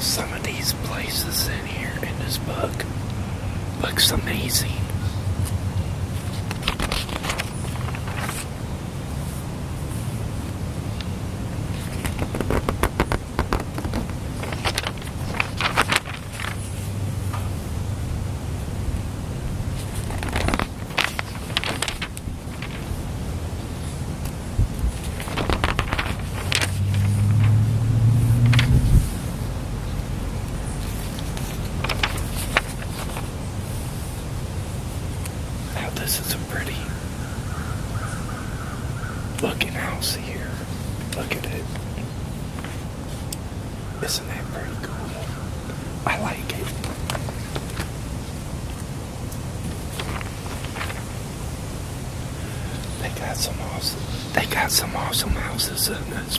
some of these places in here in this book Looks amazing. Now this is a pretty looking house here. Look at it. Isn't that pretty cool? I like it. They got some awesome they got some awesome houses in this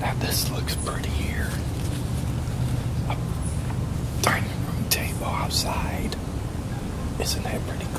Now this looks pretty here. A dining room table outside. Isn't that pretty cool?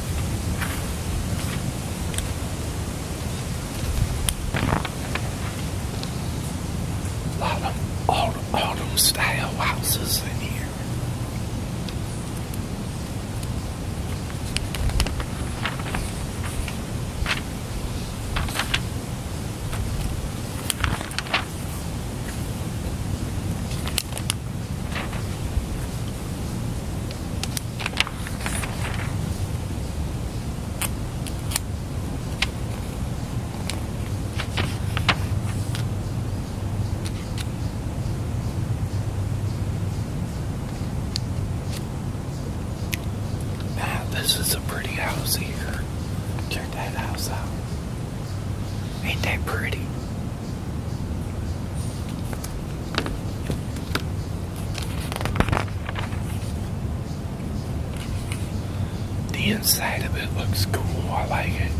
A lot of autumn, autumn style houses in here. Now, this is a pretty house here. Check that house out. Ain't that pretty? The inside of it looks cool. I like it.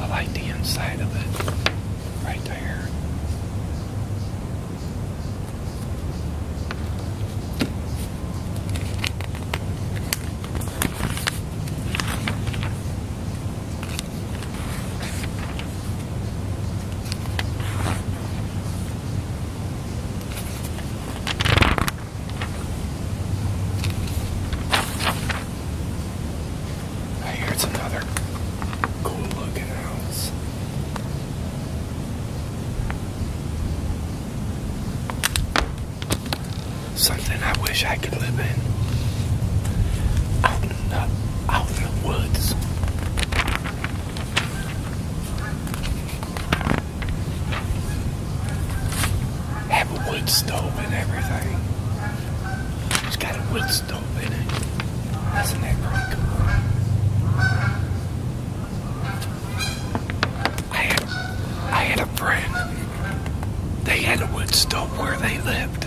I like the inside of it right there it's another cool looking house something I wish I could live in. Out in the, out in the woods. Have a wood stove and everything. it got a wood stove in it. Isn't that pretty I had, I had a friend. They had a wood stove where they lived.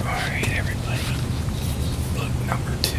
Alright, everybody. Book number two.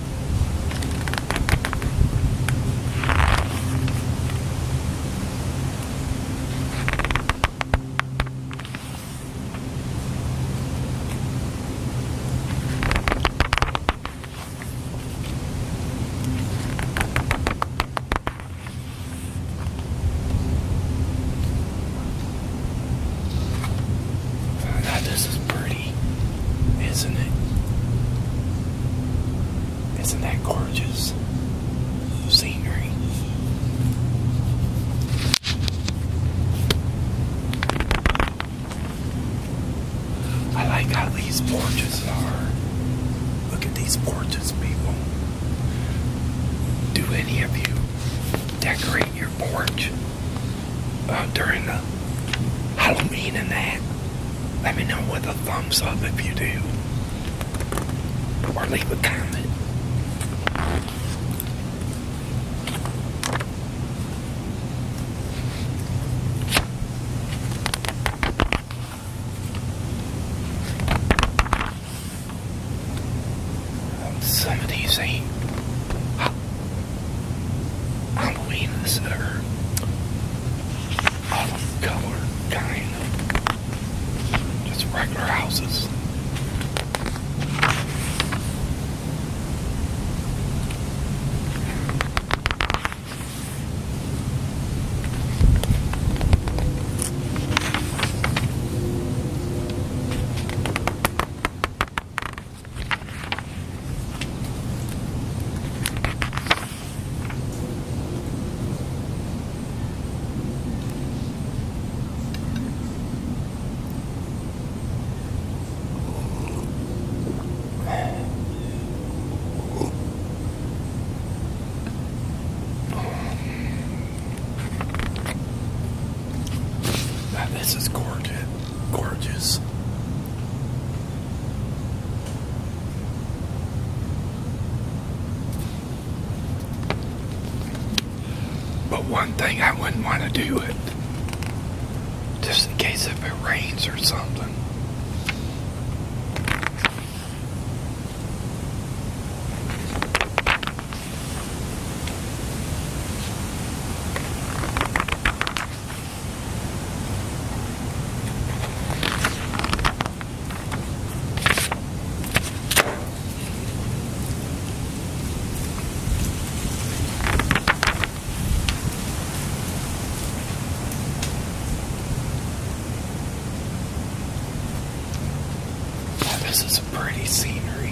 this is pretty isn't it? Isn't that gorgeous scenery? I like how these porches are. Look at these porches, people. Do any of you decorate your porch uh, during the Halloween and that. Let me know with a thumbs up if you do. Or leave a comment. Some of these ain't Halloween's or olive color kind of just regular houses. Now this is gorgeous gorgeous. But one thing I wouldn't want to do it, just in case if it rains or something this is a pretty scenery.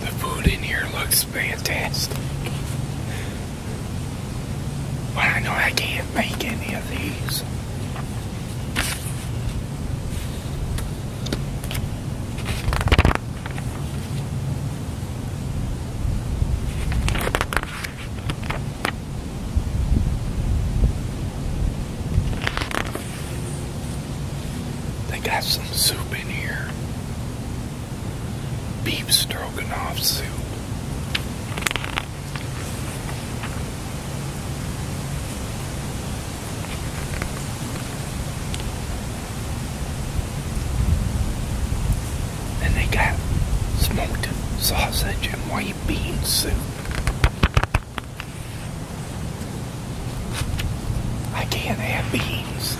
The food in here looks fantastic. But I know I can't make any of these. They got some soup in here. Beef stroganoff soup. And they got smoked sausage and white bean soup. I can't have beans.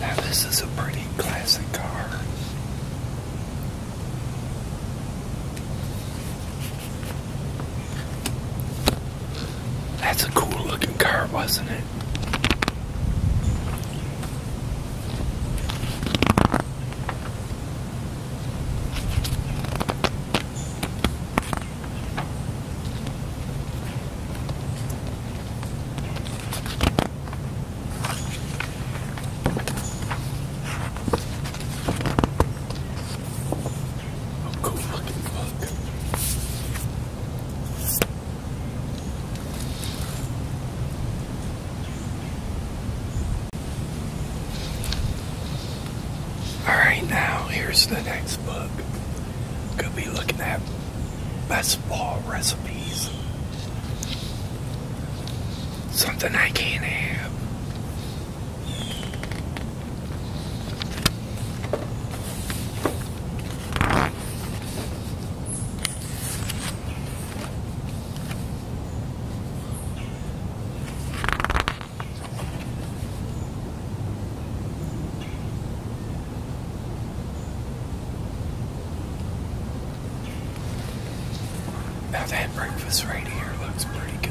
Now this is a pretty classic car. That's a cool looking car, wasn't it? All right, now here's the next book. Could be looking at best fall recipes. Something I can't have. Now that breakfast right here looks pretty good.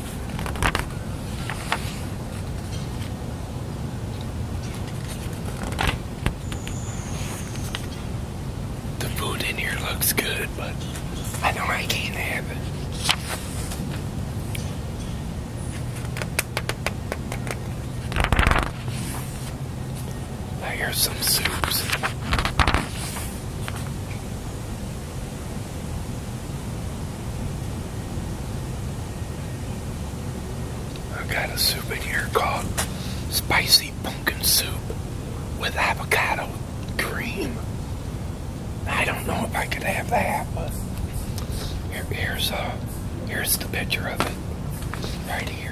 The food in here looks good, but I know I can't have it. Here's some soups. I got a soup in here called spicy pumpkin soup with avocado cream. I don't know if I could have that, but here's a uh, here's the picture of it right here.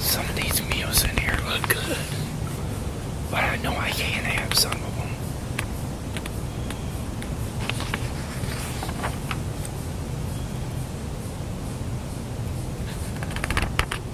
Some of these meals in here look good, but I know I can't have some of them.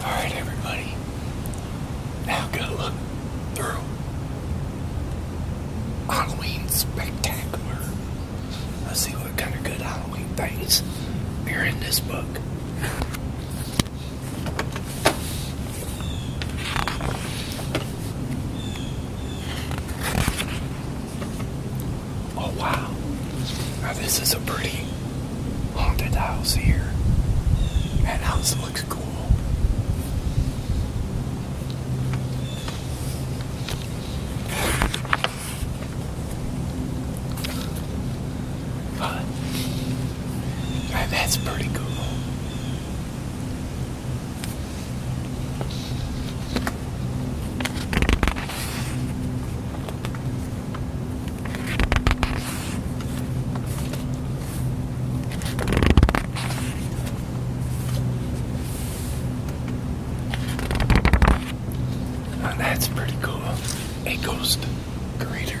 Alright everybody, now go look through Halloween Spectacular. Let's see what kind of good Halloween things are in this book. Oh wow. Now this is a pretty haunted house here. That house looks cool that's pretty cool. Oh, that's pretty cool. A ghost grater.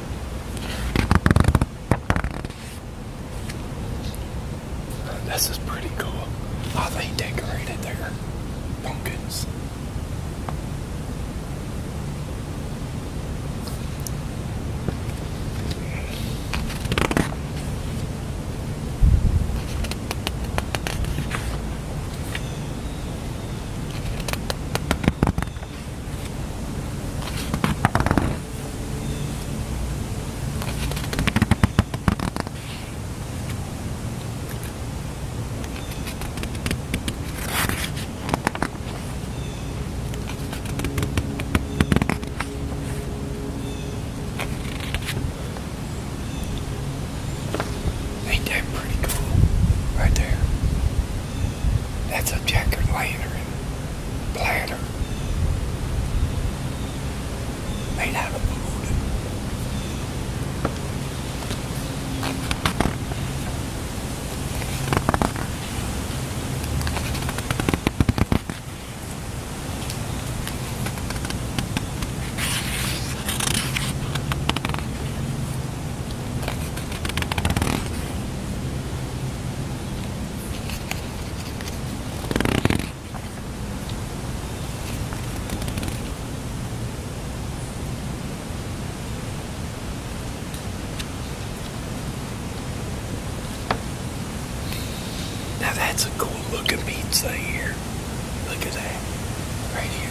This is pretty cool how oh, they decorated there, pumpkins. Ain't that pretty cool? Right there. That's a jack lantern platter. Made out of wood. Now that's a cool looking pizza here. Look at that. Right here.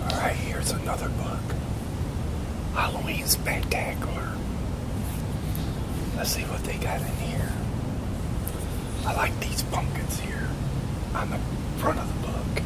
Alright, here's another book. Halloween Spectacular. Let's see what they got in here. I like these pumpkins here on the front of the book.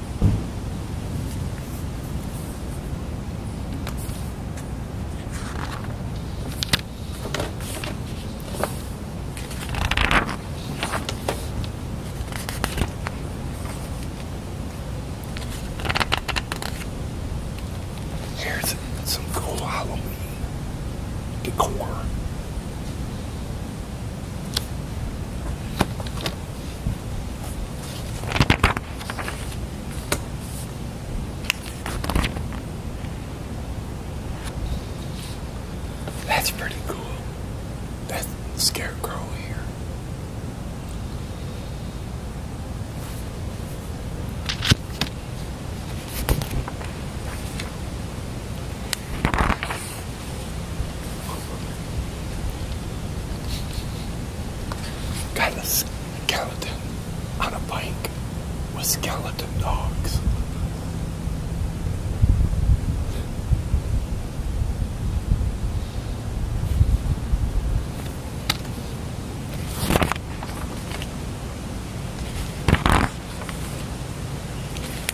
Here's some cool Halloween decor. That's pretty cool. That's the scarecrow here. Got a skeleton on a bike with skeleton dogs.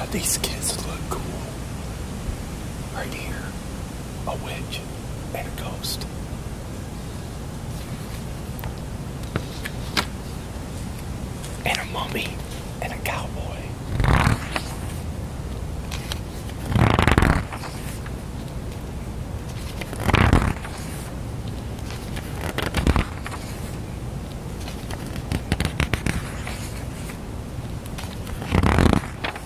Uh, these kids look cool. Right here, a witch and a ghost and a mummy and a cowboy.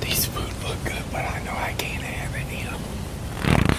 These food look good, but I know I can't have any of them.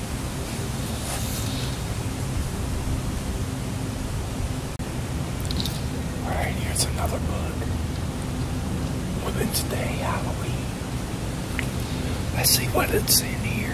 Alright, here's another book. Women's Day Halloween. Let's see what it's in here.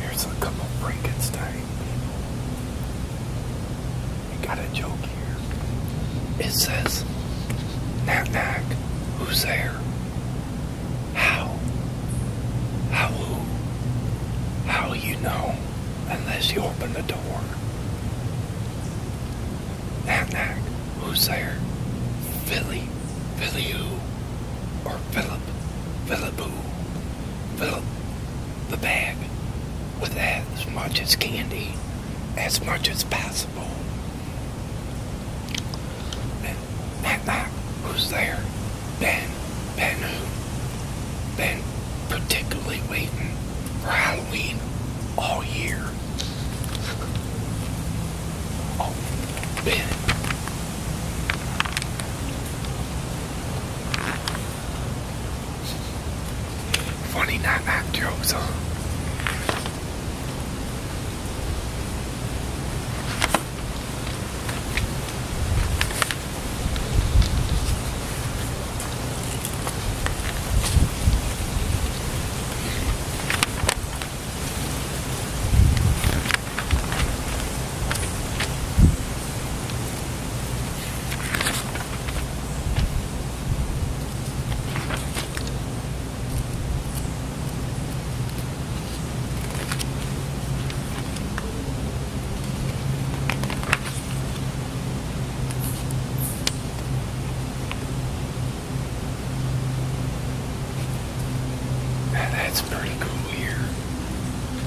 Here's a couple Frankenstein people. We got a joke here. It says, Knack Knack, who's there? How? How who? How you know unless you open the door? Knack Knack, who's there? Billy, Billy who? Or Philip, Philip who? fill the bag with as much as candy, as much as possible. And that night, who's there? Ben. Ben who? particularly waiting for Halloween all year. Oh, Ben Funny not back jokes, huh? Now that's pretty cool here.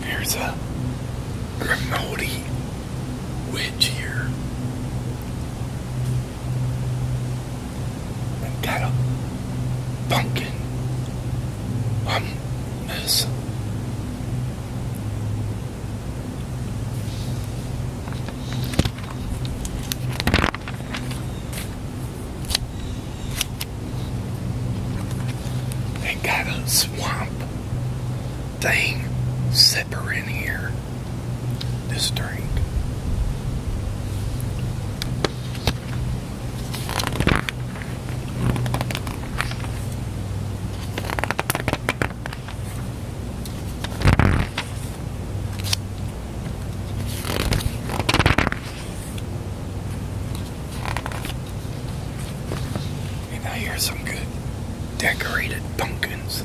There's a Grimaldi witch here. got a pumpkin hummus. They got a swamp thing zipper in here. This drink. And now here's some good decorated pumpkins.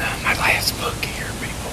Uh, my last book here, people.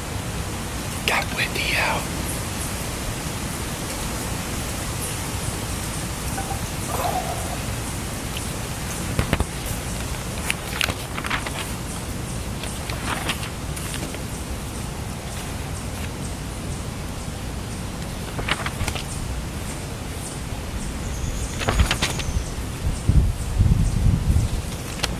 Got Wendy out.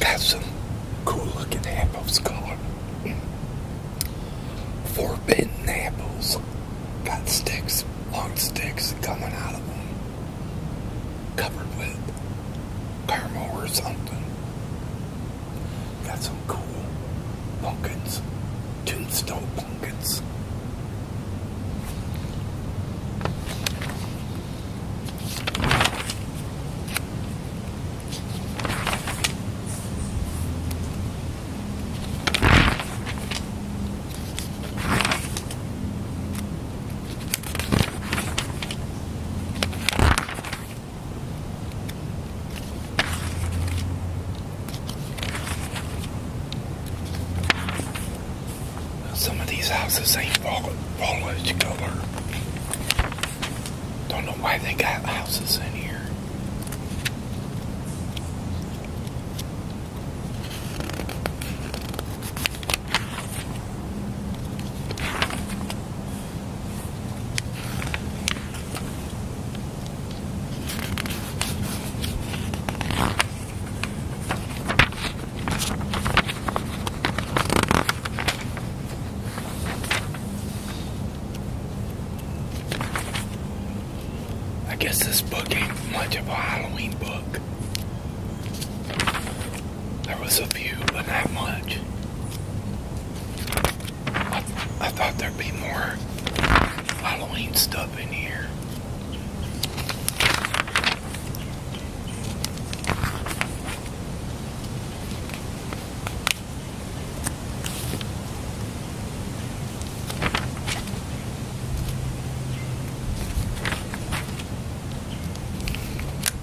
That's some cool looking apples color. Forbidden apples. Got sticks, long sticks coming out of them. Covered with caramel or something. Got some cool pumpkins, tombstone pumpkins. Some of these houses ain't all foliage color. Don't know why they got houses in here. I guess this book ain't much of a Halloween book. There was a few, but not much. I, thought there'd be more Halloween stuff in here.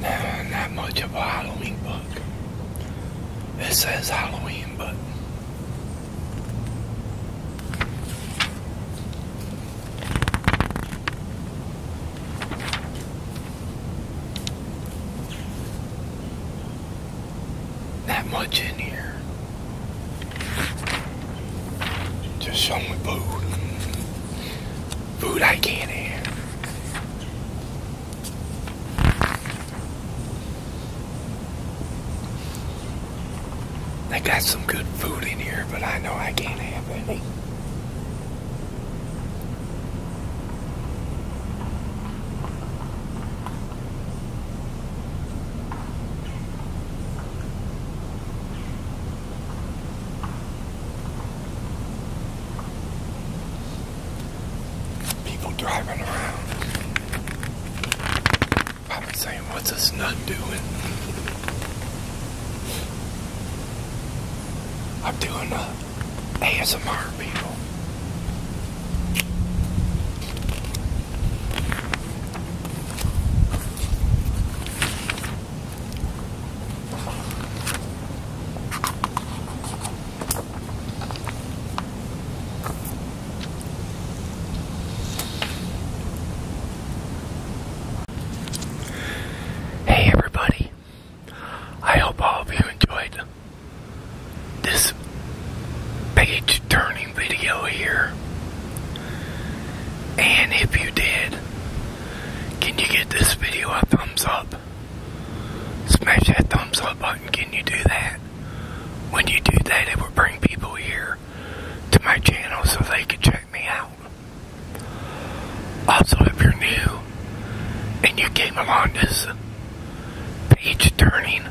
No, not much of a Halloween book. It says Halloween, but that much in here. Just show me food. Food I can't have. They got some good food in here, but I know I can't have any. People driving around. Probably saying, what's this nut doing? I'm doing a ASMR people. Hey everybody, I hope all of you enjoyed this page turning video here. And if you did, can you give this video a thumbs up? Smash that thumbs up button. Can you do that? When you do that, it will bring people here to my channel so they can check me out. Also, if you're new, and you came along this page turning,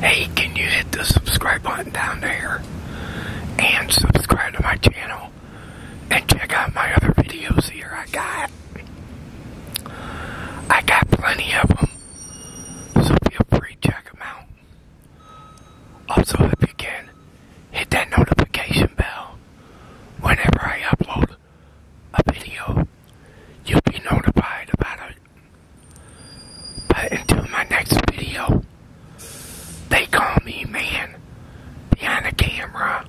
hey, can you hit the subscribe button down there and subscribe to my channel and check out my other videos here I got. I got plenty of them, so feel free to check them out. Also, if you can, hit that notification bell whenever I upload a video, you'll be notified about it. But until my next video, they call me man behind the camera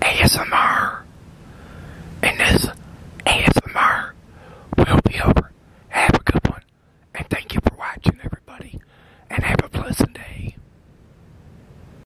ASMR. And this ASMR will be over. Have a good one. And thank you for watching, everybody. And have a pleasant day.